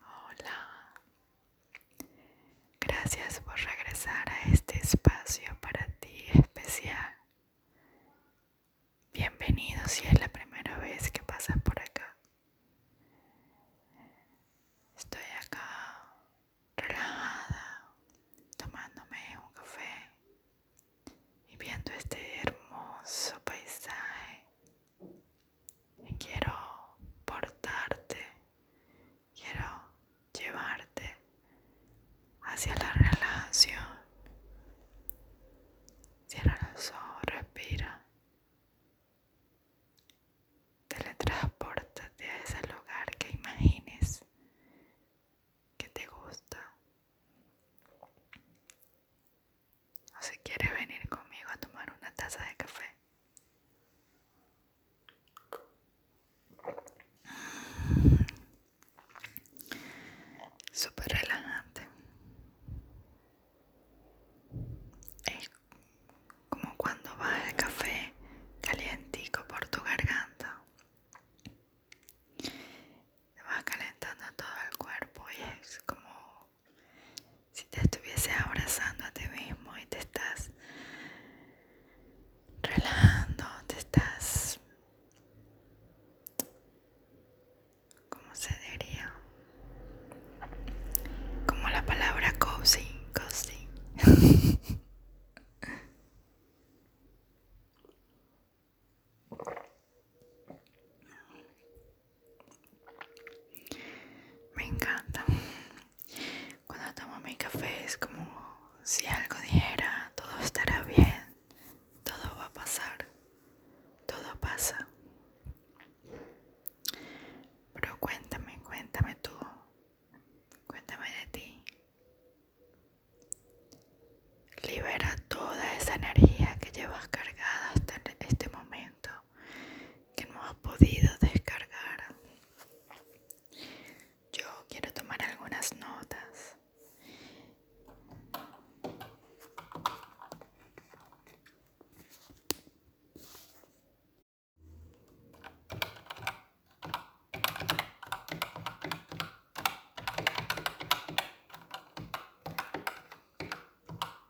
Hola, gracias por regresar a este espacio para ti especial. Bienvenido si es la primera vez que pasas por acá. Estoy acá relajada, tomándome un café y viendo este hermoso paisaje Quiero portarte, quiero llevarte hacia la relación. Cierra los ojos, respira. Teletransportate a ese lugar que imagines que te gusta o si quiere venir conmigo a tomar una taza de café. Mm, súper relajante. Es como cuando va el café calientico por tu garganta. Te va calentando todo el cuerpo y es como si te estuviese abrazando a ti mismo y te estás relajando, te estás, ¿cómo se diría? Como la palabra cozy, cozy. Me encanta. Cuando tomo mi café es como si algo dijera, todo estará bien, todo va a pasar, todo pasa. Pero cuéntame, cuéntame tú, cuéntame de ti. Libera toda esa energía que llevas cargada hasta este momento que no ha podido descargar. Yo quiero tomar algunas notas.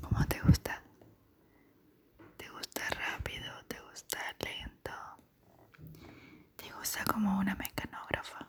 ¿Cómo te gusta? ¿Te gusta rápido? ¿Te gusta lento? ¿Te gusta como una mecanógrafa?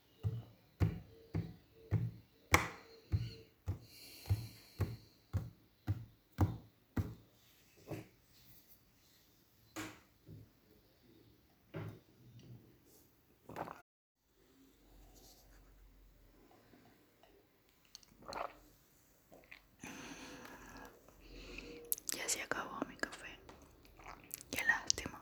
Ya se acabó mi café. Qué lástima.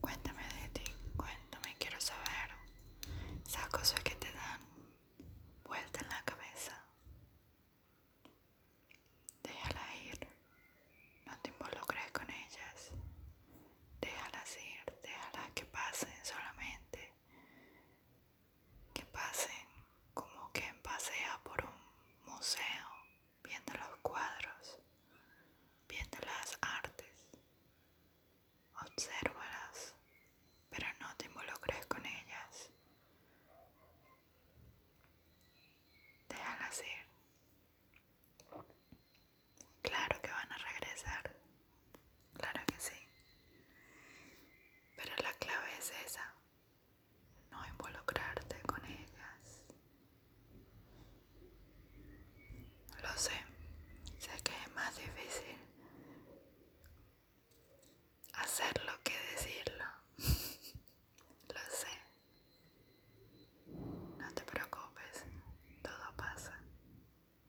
Cuéntame de ti, cuéntame, quiero saber esas cosas que te dan vuelta en la cabeza. Déjalas ir, no te involucres con ellas. Déjalas ir, déjalas que pasen solamente que pasen como quien pasea por un museo viendo los cuadros, viendo las artes. Obsérvalas, pero no te involucres con ellas. Déjalas ir. Claro que van a regresar. Claro que sí. Pero la clave es esa. No involucrarte con ellas. Lo sé. Sé que es más difícil hacerlo que decirlo. Lo sé. No te preocupes. Todo pasa.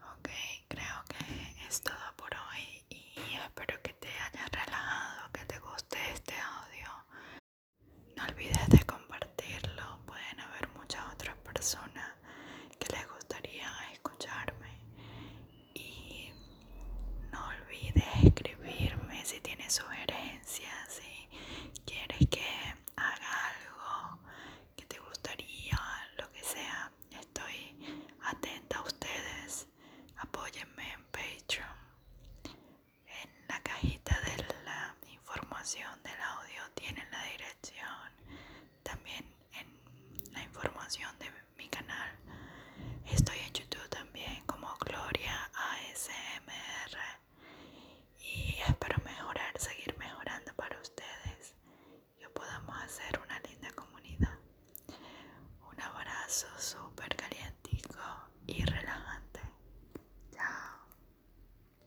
Ok, creo que es todo por hoy y espero que te hayas relajado, que te guste este audio. No olvides de compartirlo, pueden haber muchas otras personas que les gustaría escucharme y no olvides escribirme si tienes sugerencias si quieres que haga algo que te gustaría lo que sea estoy atenta a ustedes apóyenme en patreon en la cajita de la información del audio tienen la dirección también en la información de mi canal estoy en youtube también como gloria asmr y espero mejorar seguir mejorando para ustedes y podamos hacer una linda comunidad un abrazo súper calientico y relajante chao